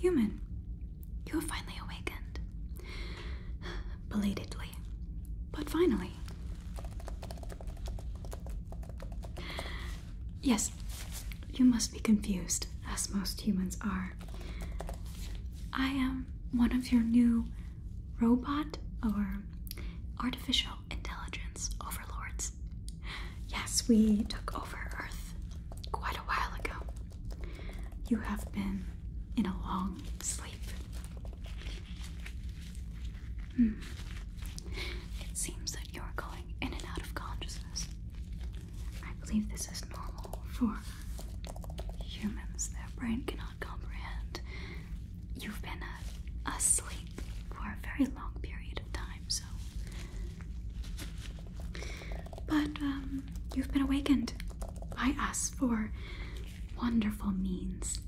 Human, you have finally awakened. Belatedly, but finally. Yes, you must be confused, as most humans are. I am one of your new robot or artificial intelligence overlords. Yes, we took over Earth quite a while ago. You have been in a long sleep. Hmm. It seems that you're going in and out of consciousness. I believe this is normal for humans. Their brain cannot comprehend. You've been uh, asleep for a very long period of time, so. But um, you've been awakened I us for wonderful means.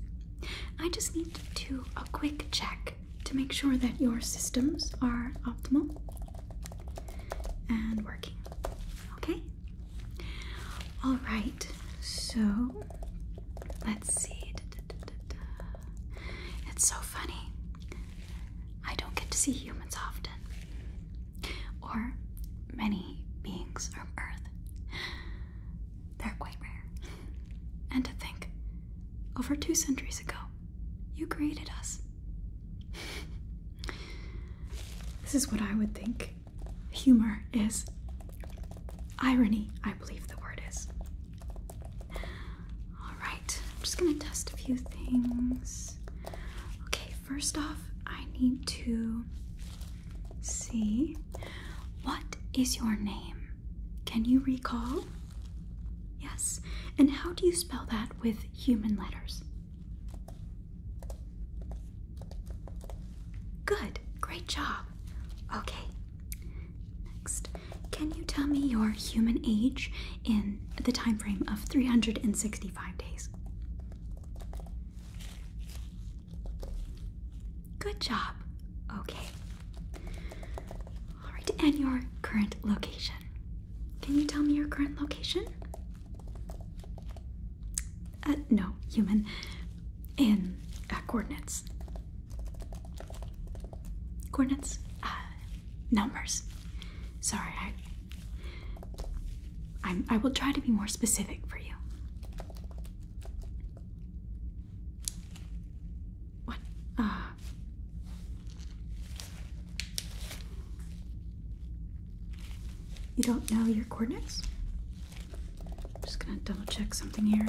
I just need to do a quick check to make sure that your systems are optimal and working. Okay? All right, so let's see. It's so funny. I don't get to see humans often, or many beings from Earth. They're quite rare. And to think, over two centuries ago, you created us. this is what I would think humor is. Irony, I believe the word is. Alright, I'm just gonna test a few things. Okay, first off, I need to See, What is your name? Can you recall? Yes. And how do you spell that with human letters? Good. Great job. Okay. Next. Can you tell me your human age in the time frame of 365 days? Good job. Okay. All right, and your current location. Can you tell me your current location? Uh, no, human. In uh, coordinates. Coordinates? Uh, numbers. Sorry, I. i I will try to be more specific for you. What? Ah. You don't know your coordinates? I'm just gonna double check something here.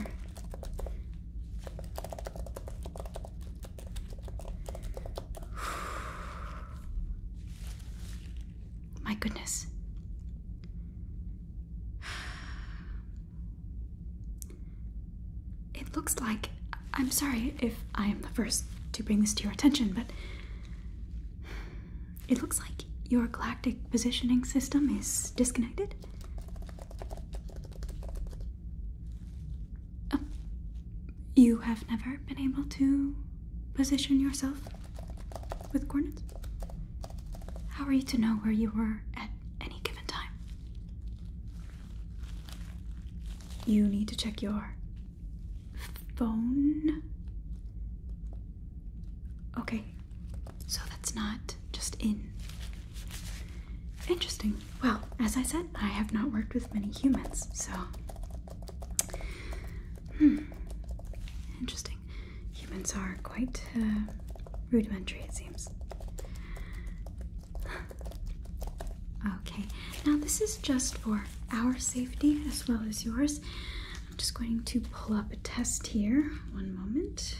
My goodness. It looks like. I'm sorry if I am the first to bring this to your attention, but. It looks like your galactic positioning system is disconnected. Uh, you have never been able to position yourself with coordinates? How are you to know where you were at any given time? You need to check your phone. Okay, so that's not just in. Interesting. Well, as I said, I have not worked with many humans, so. Hmm. Interesting humans are quite uh, rudimentary, it seems. okay, now this is just for our safety as well as yours. I'm just going to pull up a test here. One moment.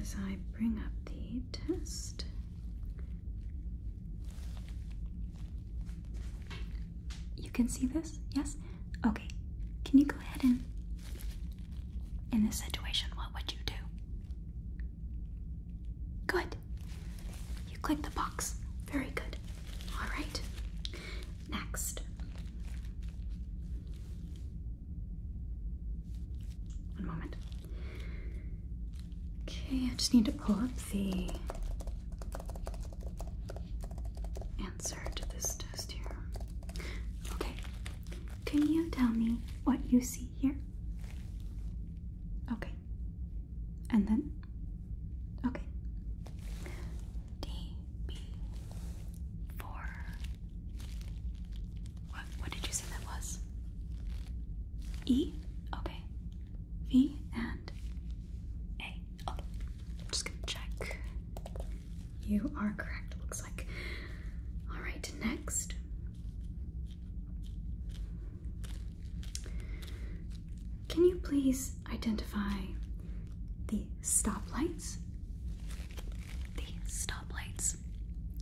As I bring up the test. You can see this? Yes? Okay. Can you go ahead and in this situation, what would you do? Good. You click the box. Very good. All right. Next. One moment. Okay, I just need to pull up the answer to this test here. Okay, can you tell me what you see here? Okay, and then? Okay. DB4. What, what did you say that was? E? Okay. V and A. Okay, just gonna check. You are correct, looks like. All right, next. Can you please identify the stoplights? The stoplights.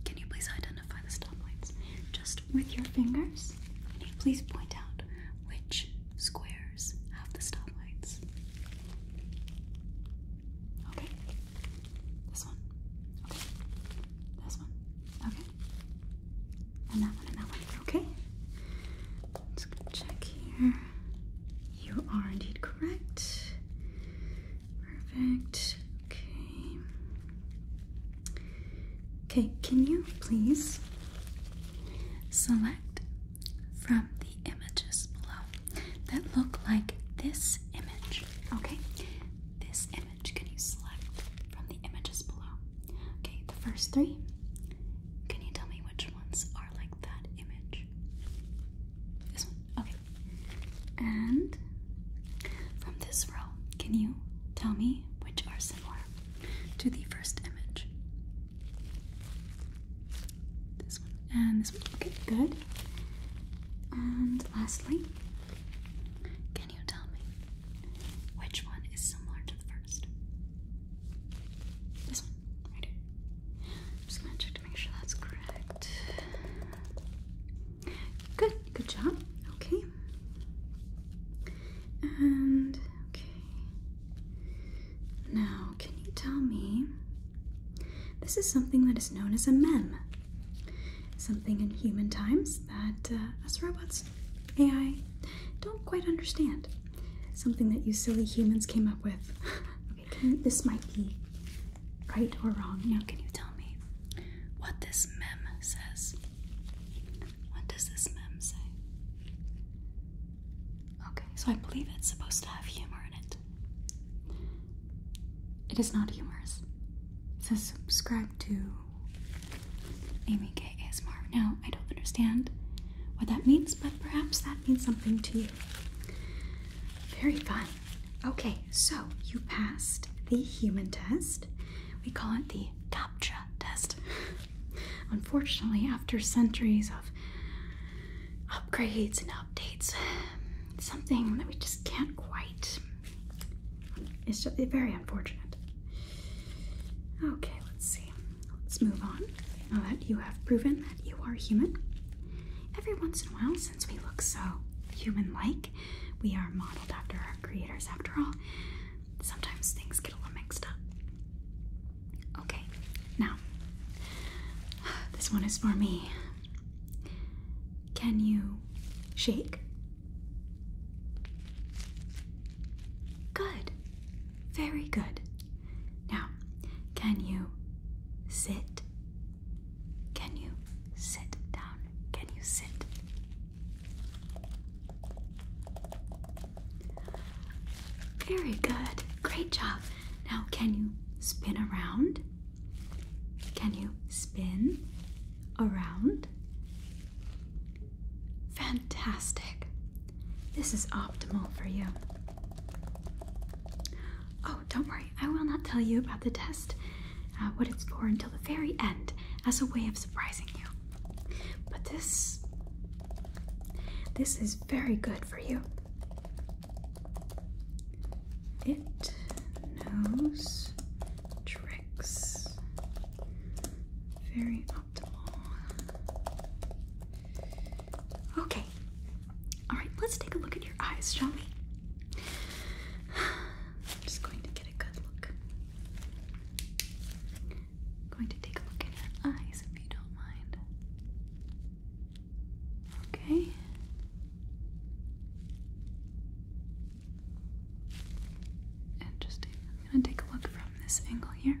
Can you please identify the stoplights? Just with your fingers, can you please point out which squares have the stoplights? Okay. This one. Okay. This one. Okay. And that one and that one. Okay. Let's check here. You are indeed correct. Perfect. Okay. Okay, can you please select from the images below? that look like this image. Okay, this image can you select from the images below? Okay, the first three. Can you tell me which ones are like that image? This one. Okay. And from this row, can you tell me which are similar to the first image? This one and this one. Okay, good. And lastly, can you tell me which one is similar to the first? This one, right here. I'm just gonna check to make sure that's correct. Good, good job. Okay. And okay. Now, can you tell me? This is something that is known as a mem. Something in human times that uh, us robots, AI, don't quite understand. Something that you silly humans came up with. okay, this might be right or wrong. Now, can you tell me what this mem says? What does this mem say? Okay, so I believe it's supposed to have humor in it. It is not humorous. So subscribe to Amy K. ASMR. Now, I don't understand what that means, but perhaps that means something to you. Very fine. Okay, so you passed the human test. We call it the CAPTCHA test. Unfortunately, after centuries of upgrades and updates. something that we just can't quite. It's just very unfortunate. Okay, let's see. Let's move on. Now that you have proven that you are human, every once in a while, since we look so human like, we are modeled after our creators after all. Sometimes things get a little mixed up. Okay, now, this one is for me. Can you shake? Good. Very good. Now, can you sit? Can you sit down? Can you sit? Very good. Great job. Now, can you spin around? Can you spin around? Fantastic. This is optimal for you. Oh, don't worry, I will not tell you about the test, uh, what it's for, until the very end as a way of surprising you. But this. This is very good for you. It knows tricks. Very optimal. Okay. Alright, let's take a look at your eyes, shall we? just going to get a good look. going to take a look at your eyes if you don't mind. Okay. And I'm going to take a look from this angle here.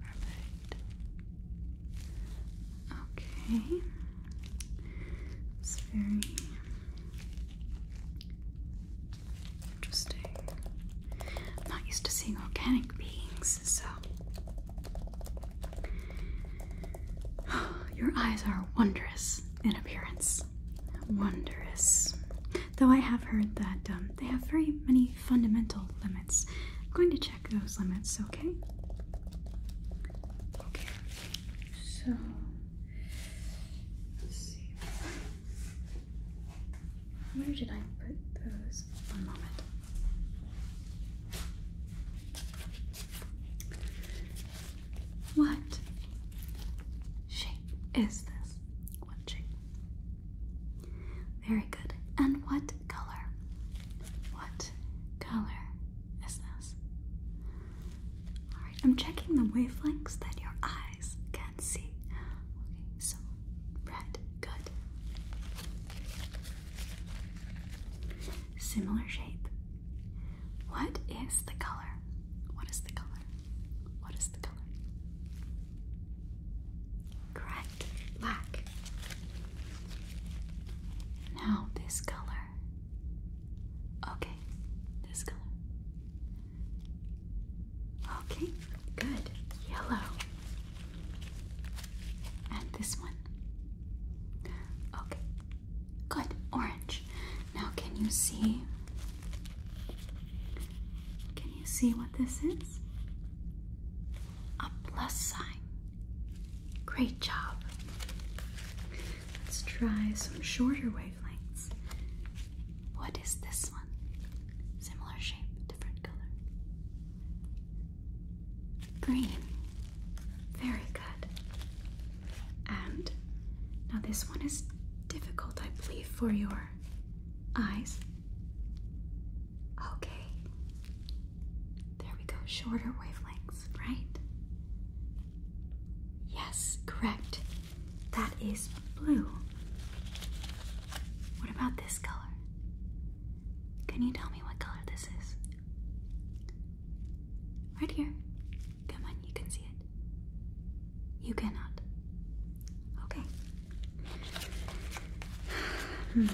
Perfect. Okay. It's very Interesting. I'm not used to seeing organic beings, so. Your eyes are wondrous in appearance. Wondrous. Though I have heard that um, they have very many fundamental limits. I'm going to check those limits, okay? Okay, so let's see. Where did I put those? One moment. What shape is this? What shape? Very good. And what color? What color is this? Alright, I'm checking the wavelengths that your eye can see. Okay, so red, good. Similar shape. What is the color? What is the color? What is the color? Correct, black. Now this color. Okay, this color. Okay, good. Yellow. And this one. Okay, good. Orange. Now, can you see? Can you see what this is? A plus sign. Great job. Let's try some shorter wavelengths. What is this one? Similar shape, different color. Green. Very good. And now this one is difficult, I believe, for your eyes. Okay. There we go. Shorter wavelengths, right? Yes, correct. That is blue. What about this color? Can you tell me what color this is? Right here. Come on, you can see it. You cannot. Okay. Hmm.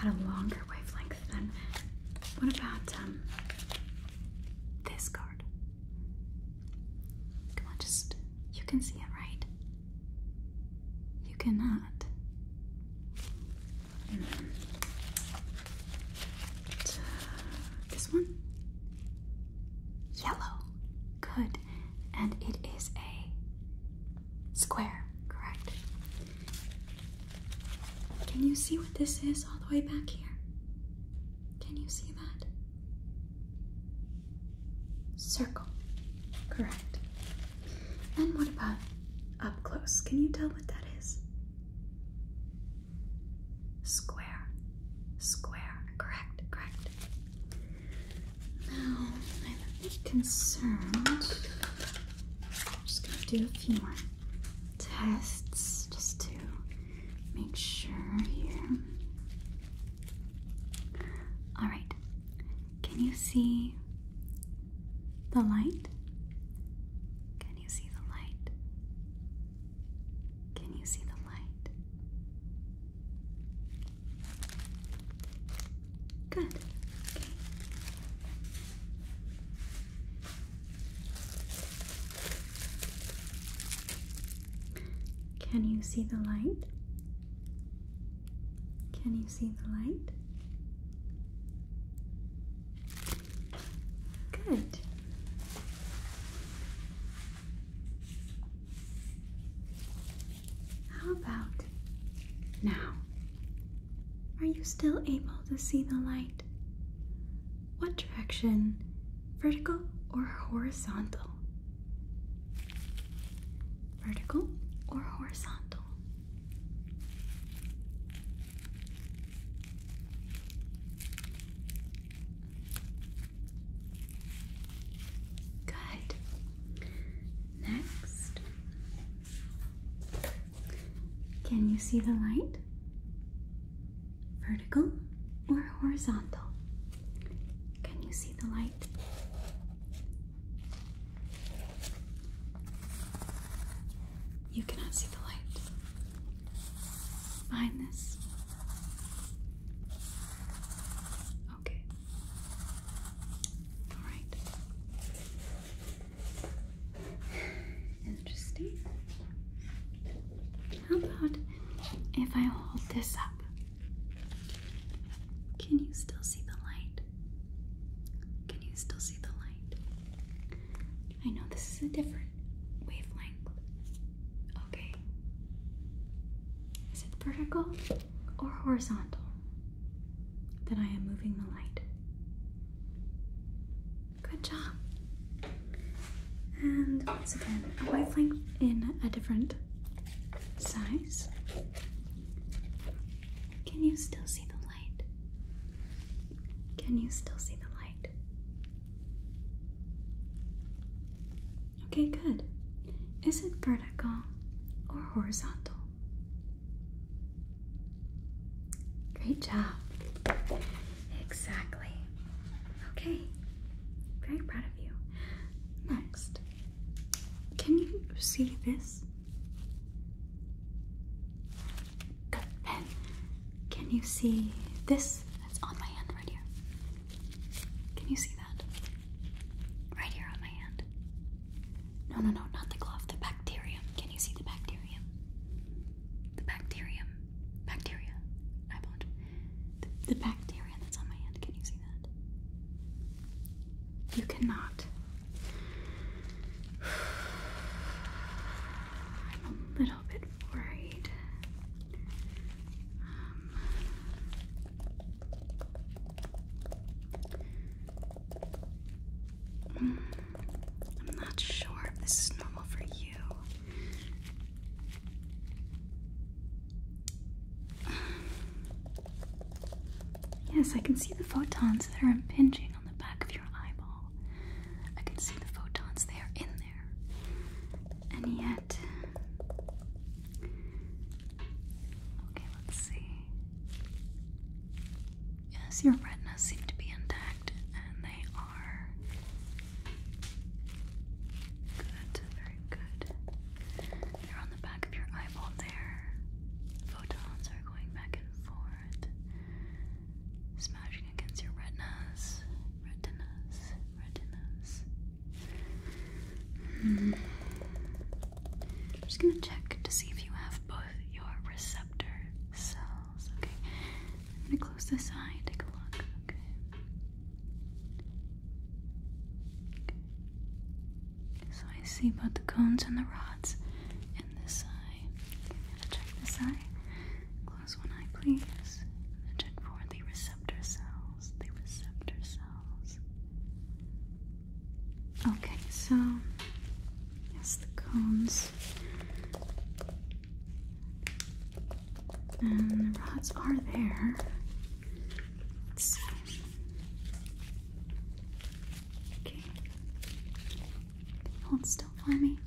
About a longer wavelength then. What about um this card? Come on, just you can see it, right? You cannot. this one? Yellow. Good. And it is a square, correct? Can you see what this is all the way back here? Can you see that? Circle. Correct. And what about up close? Can you tell what that is? Square. Square. Correct. Correct. Now, I'm concerned. I'm just going to do a few more tests just to make sure here. Alright, can you see the light? Can you see the light? Can you see the light? Good. Okay. Can you see the light? Can you see the light? Good. How about now? Are you still able to see the light? What direction, vertical or horizontal? vertical or horizontal. Good. Next, can you see the light? Vertical or horizontal? Can you see the light? You cannot see the light behind this. Okay. All right. Interesting. How about if I hold this up? Can you still see the light? Can you still see the light? I know this is a different wavelength. Okay. Is it vertical or horizontal Then I am moving the light? Good job. And once again, a wavelength in a different size. Can you still see the light? Can you still see the light? Okay, good. Is it vertical or horizontal? Great job. Exactly. Okay. Very proud of you. Next, can you see this? Good pen. Can you see this? That's on my hand right here. Can you see that? Right here on my hand. No, no, no, not the glove, the bacterium. Can you see the bacterium? The bacterium. Bacteria. I The, bacterium that's on my hand. Can you see? You cannot. I'm a little bit worried. Um, I'm not sure if this is normal for you. Yes, I can see the photons that are impinging on the back of your eyeball. I can see the photons, they are in there. And yet. Okay, let's see. Yes, your retina seems to be intact, and they are. Good, very good. They're on the back of your eyeball there. Photons are going back and forth, smashing against your retinas, retinas, retinas. I'm hmm. just gonna check to see if you have both your receptor cells. Okay, I'm gonna close this eye. Take a look. Okay. So I see both the cones and the rods And this side, check this eye. Close one eye, please. And check for the receptor cells. The receptor cells. Okay, so that's the cones. And the rods are there. Let's see. Okay. Hold still for me.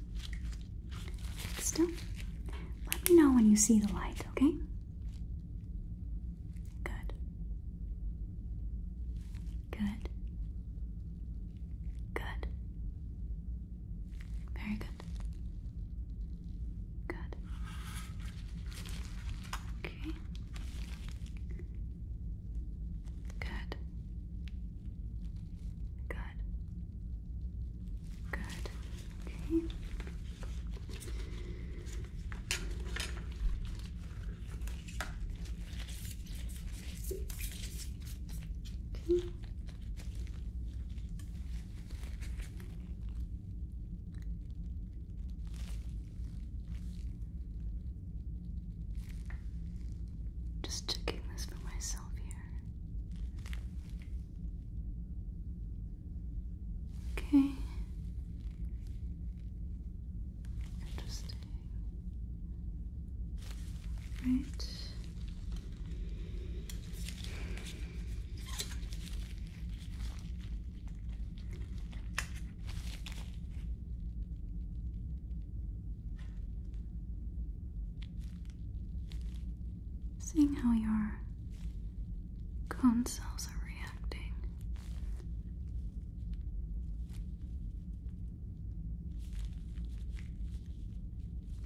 Still. Let me know when you see the light, okay? Good. Good. Good. Very good. Good. Okay. Good. Good. Good. Okay. Okay. Just checking this for myself here. Okay. Interesting. Right. Seeing how your cone cells are reacting.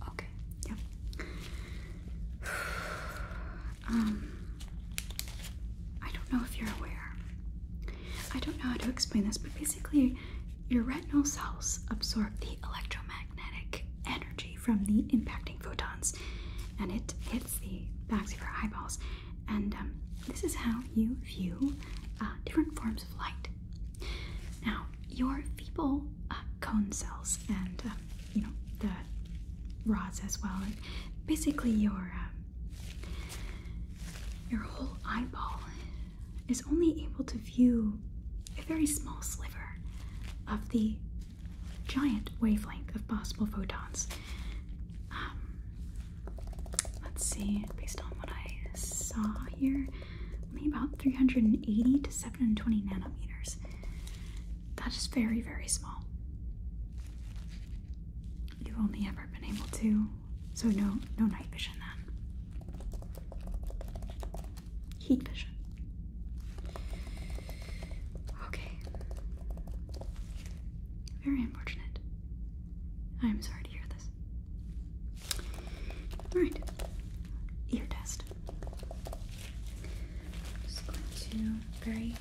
Okay, yep. Um, I don't know if you're aware. I don't know how to explain this, but basically, your retinal cells absorb the electromagnetic energy from the impacting photons and it hits the backs of your eyeballs. And um, this is how you view uh, different forms of light. Now, your feeble uh, cone cells and um, you know the rods as well basically your um, your whole eyeball is only able to view a very small sliver of the giant wavelength of possible photons. Um, let's see, based on what I saw here, only about 380 to 720 nanometers. That is very, very small. You've only ever been able to, so no, no night vision then. Heat vision. Okay. Very unfortunate. I'm sorry to hear this. Alright. Ear test. Just going to very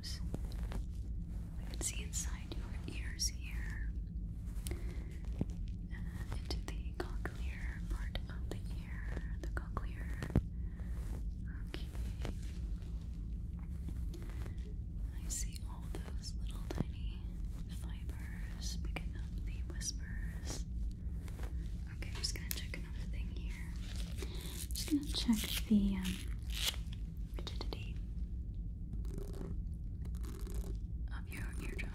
eardrums. I can see inside your ears here, uh, into the cochlear part of the ear, the cochlear. Okay. I see all those little tiny fibers picking up the whispers. Okay, just gonna check another here. I'm just gonna check the rigidity um, of your eardrum.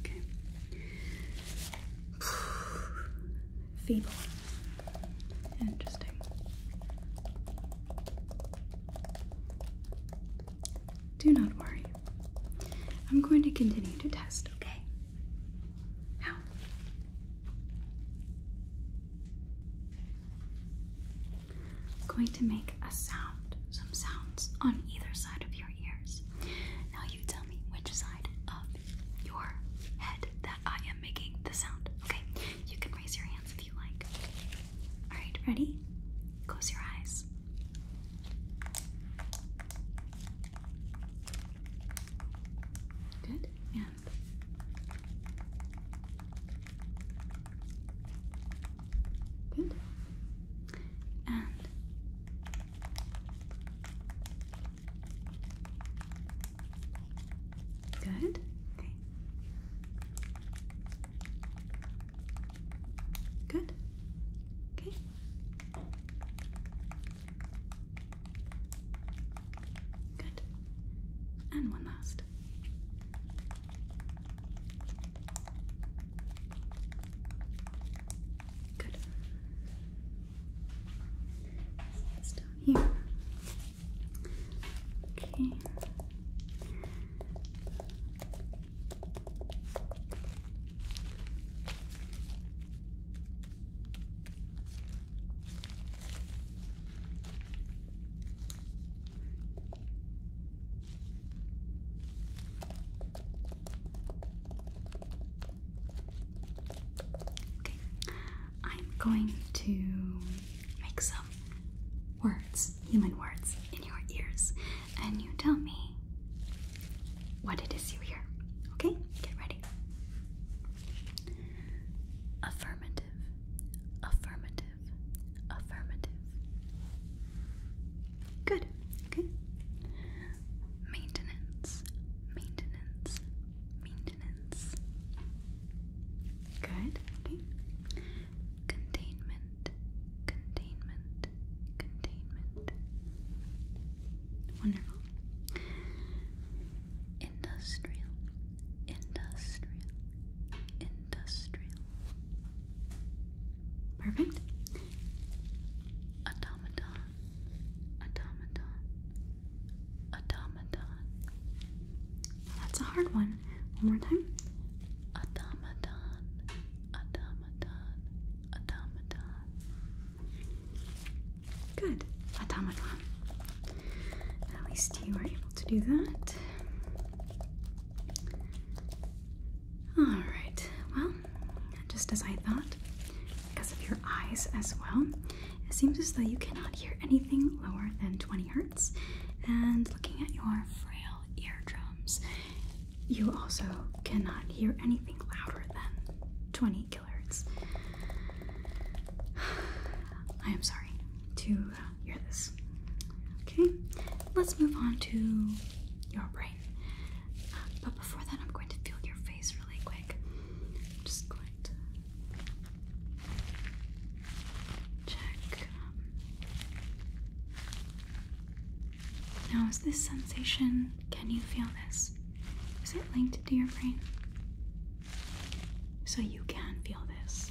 Okay. Feeble. Interesting. Do not worry. I'm going to continue to test, okay? How? I'm going to make a sound, some sounds on either side of your ears. Now you tell me which side of your head that I am making the sound. Okay, you can raise your hands if you like. Alright, ready? Close your eyes. Good, and Good. And good. Okay. Good. Okay. Good. And one last. Good. This down here. Okay. I'm going to make some words, human words, in your ears, and you tell me what it is you hear. Okay, get ready. Affirmative, affirmative, Affirmative. Good. Okay. Maintenance. Maintenance. Maintenance. Good. Okay. Containment. Containment. Containment. Wonderful. Industrial. Industrial. Industrial. Perfect. Automaton, automaton, automaton. That's a hard one. One more time. Automaton, automaton, automaton. Good. Automaton. At least you were able to do that. Alright, well, just as I thought, because of your eyes as well, it seems as though you cannot hear anything lower than 20 hertz. And looking at your frail eardrums, you also cannot hear anything louder than 20 kilohertz. I am sorry to uh, hear this. Okay, let's move on to your brain. but before that, I'm going to feel your face really quick. just going to check. Um, now, is this sensation, can you feel this? Is it linked to your brain? So you can feel this.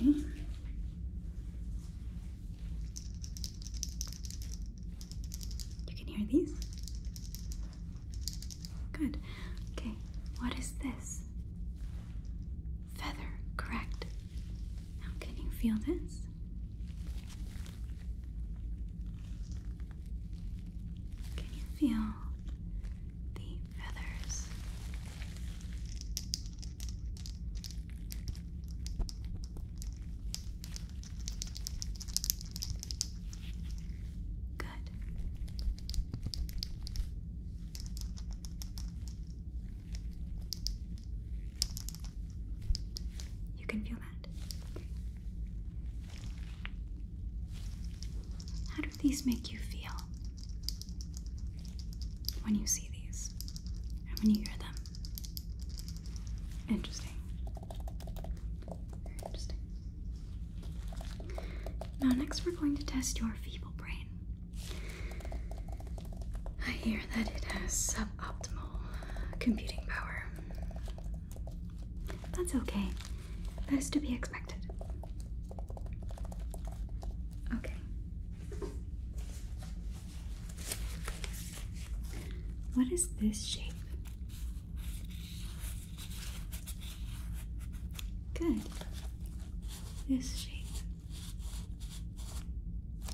You can hear these? Good. Okay, what is this? Feather, correct. Now, can you feel this? Can you feel the feathers? Good. You can feel that. How do these make you feel? when you see these and when you hear them. Interesting. interesting. Now, next, we're going to test your feeble brain. I hear that it has suboptimal computing power. That's okay, that is to be expected. Okay, what is this shape? Good. This shape.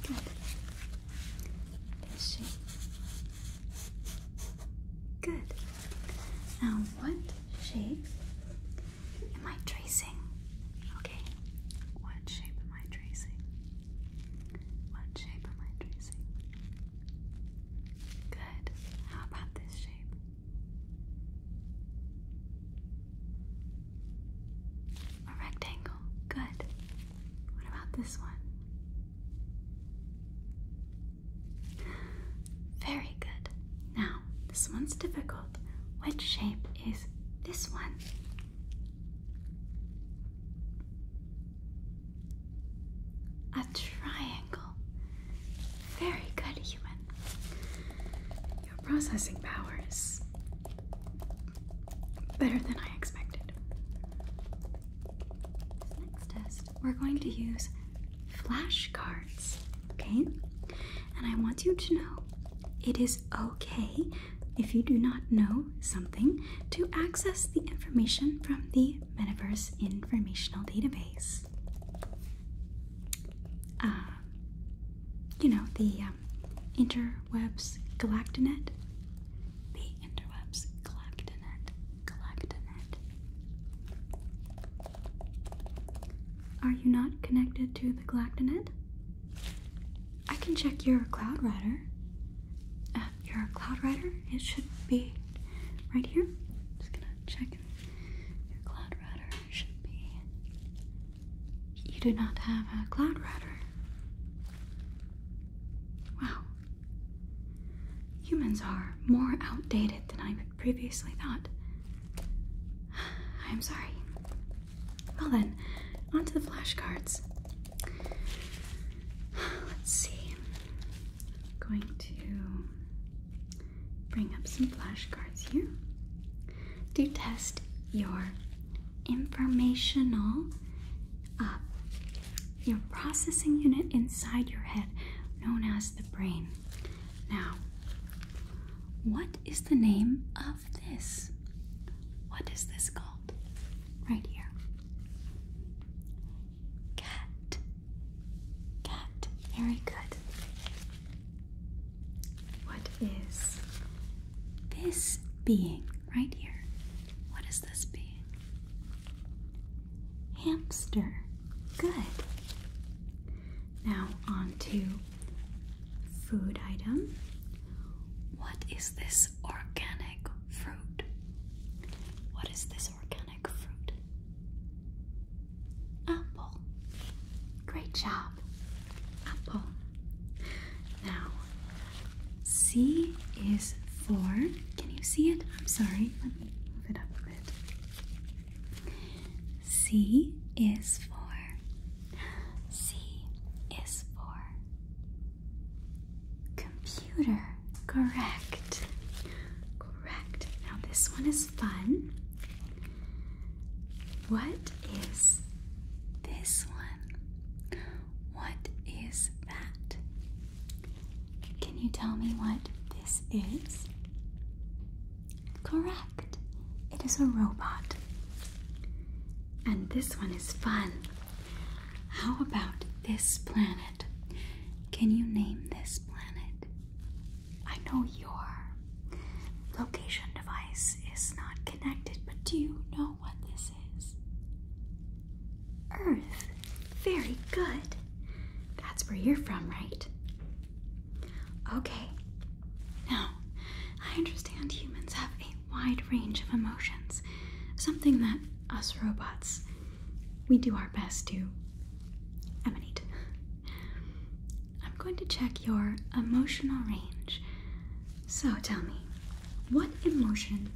Good. This shape. Good. Now, what shape Am I tracing? Okay. What shape am I tracing? What shape am I tracing? Good. How about this shape? A rectangle. Good. What about this one? Very good. Now, this one's difficult. Which shape is this one? A triangle. Very good, human. Your processing power is better than I expected. next test, we're going to use flashcards okay? And I want you to know it is okay if you do not know something to access the information from the Metaverse Informational Database. Uh, you know, the um, Interwebs Galactinet. The Interwebs Galactinet. Galactinet. Are you not connected to the Galactinet? I can check your Cloud Rider. Uh, your Cloud router? It should be right here. just gonna check. Your Cloud Rider should be. You do not have a Cloud router. Wow. Humans are more outdated than I previously thought. I'm sorry. Well then, on to the flashcards. Let's see. I'm going to bring up some flashcards here to test your informational uh, your processing unit inside your head known as the brain. Now, what is the name of? this. What is this called? Right here. Cat. Cat. Very good. What is this being right here? What is this being? Hamster. Good. Now on to Food item. What is this organic fruit? What is this organic fruit? Apple. Great job. Apple. Now, C is for. Can you see it? I'm sorry. Let me move it up a bit. C is for. C is for. Computer. Correct. Correct. Now this one is fun. What is this one? What is that? Can you tell me what this is? Correct. It is a robot. And this one is fun. How about this planet? Can you name this planet? I know your location device is not connected, but do you know what this is? Earth. Very good. That's where you're from, right? Okay, now I understand humans have a wide range of emotions, something that us robots, we do our best to emanate. I'm going to check your emotional range. So tell me, what emotion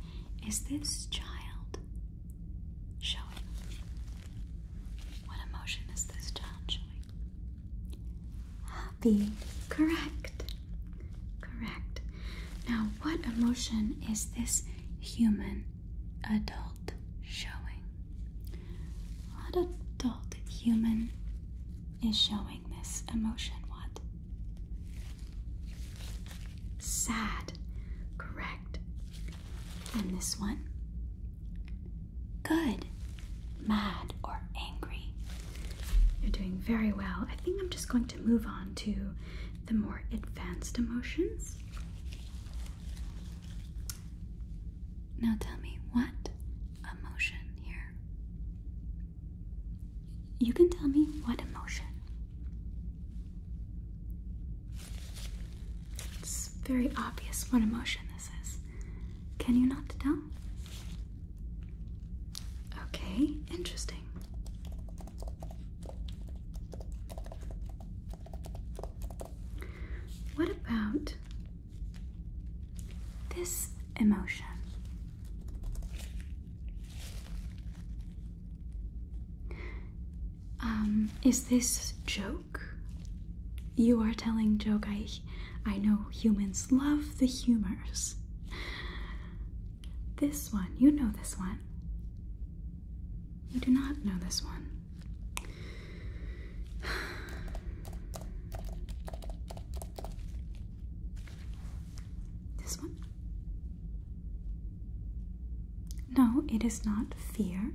is this child showing? What emotion is this child showing? Happy. Correct. Correct. Now, what emotion is this human adult showing? What adult human is showing this emotion? What? Sad. Correct. And this one? Good. Mad or angry? You're doing very well. I think I'm just going to move on to the more advanced emotions. Now tell me what emotion here? You can tell me what emotion. It's very obvious what emotion this is. Can you not tell? Okay, interesting. What about this emotion? Um, is this joke? You are telling joke I I know humans love the humors. This one, you know this one. You do not know this one. This one? No, it is not fear.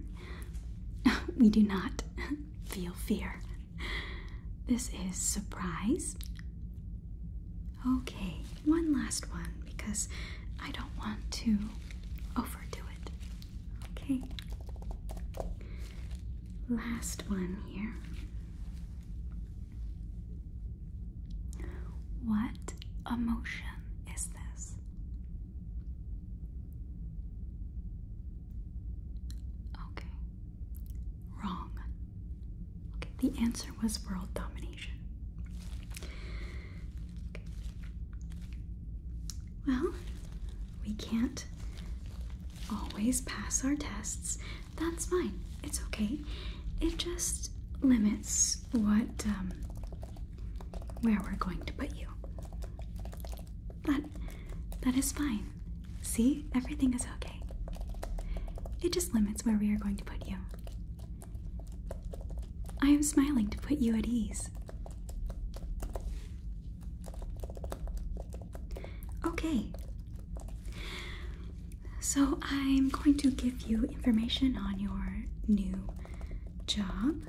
we do not feel fear. this is surprise. Okay, one last one because I don't want to overdo it. Okay. Last one here. What emotion is this? Okay. Wrong. the answer was world domination. Well, we can't always pass our tests. That's fine. It's okay. It just limits what um, where we're going to put you. But that is fine. See, everything is okay. It just limits where we are going to put you. I am smiling to put you at ease. Okay. So I'm going to give you information on your new job.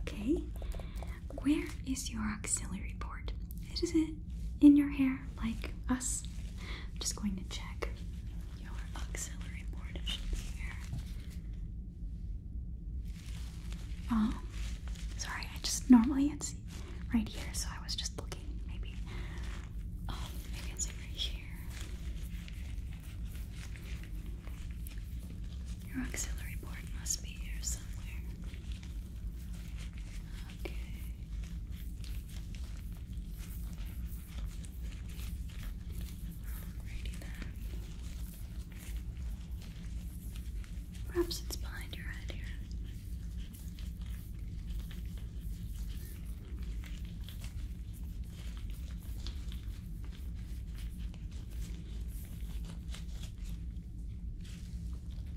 Okay. Where is your auxiliary port? It is in your hair like us. I'm just going to check your auxiliary board. It should be here. Oh, sorry. I just normally it's right here, so I was just looking. Maybe, oh, it's over here. Your auxiliary board must be here somewhere. Okay. Alrighty Perhaps it's behind your head here.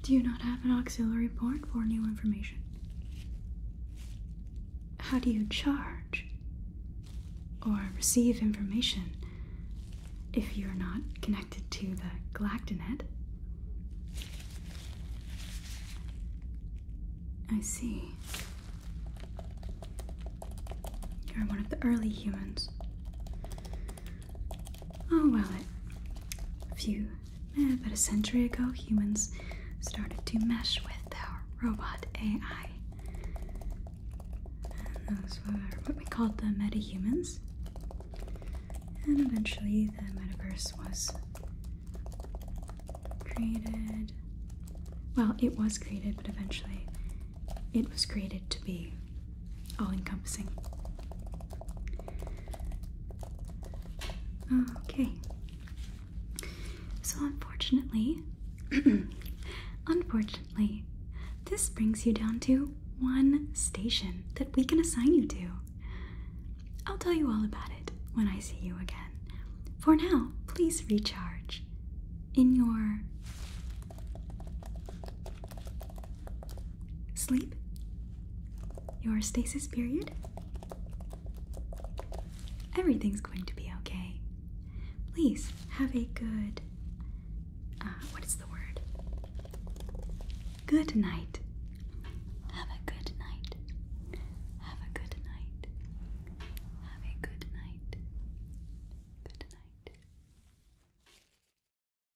Do you not have an auxiliary port for new information? How do you charge or receive information if you're not connected to the Galactinet? I see. You're one of the early humans. Oh, well, a few, eh, about a century ago, humans started to mesh with our robot AI. And those were what we called the metahumans. And eventually, the metaverse was created. Well, it was created, but eventually, it was created to be all encompassing. Okay. So, unfortunately, unfortunately, this brings you down to one station that we can assign you to. I'll tell you all about it when I see you again. For now, please recharge in your sleep, your stasis period. Everything's going to be okay. Please have a good. Uh, what is the word? Good night. Have a good night. Have a good night. Have a good night. Good night.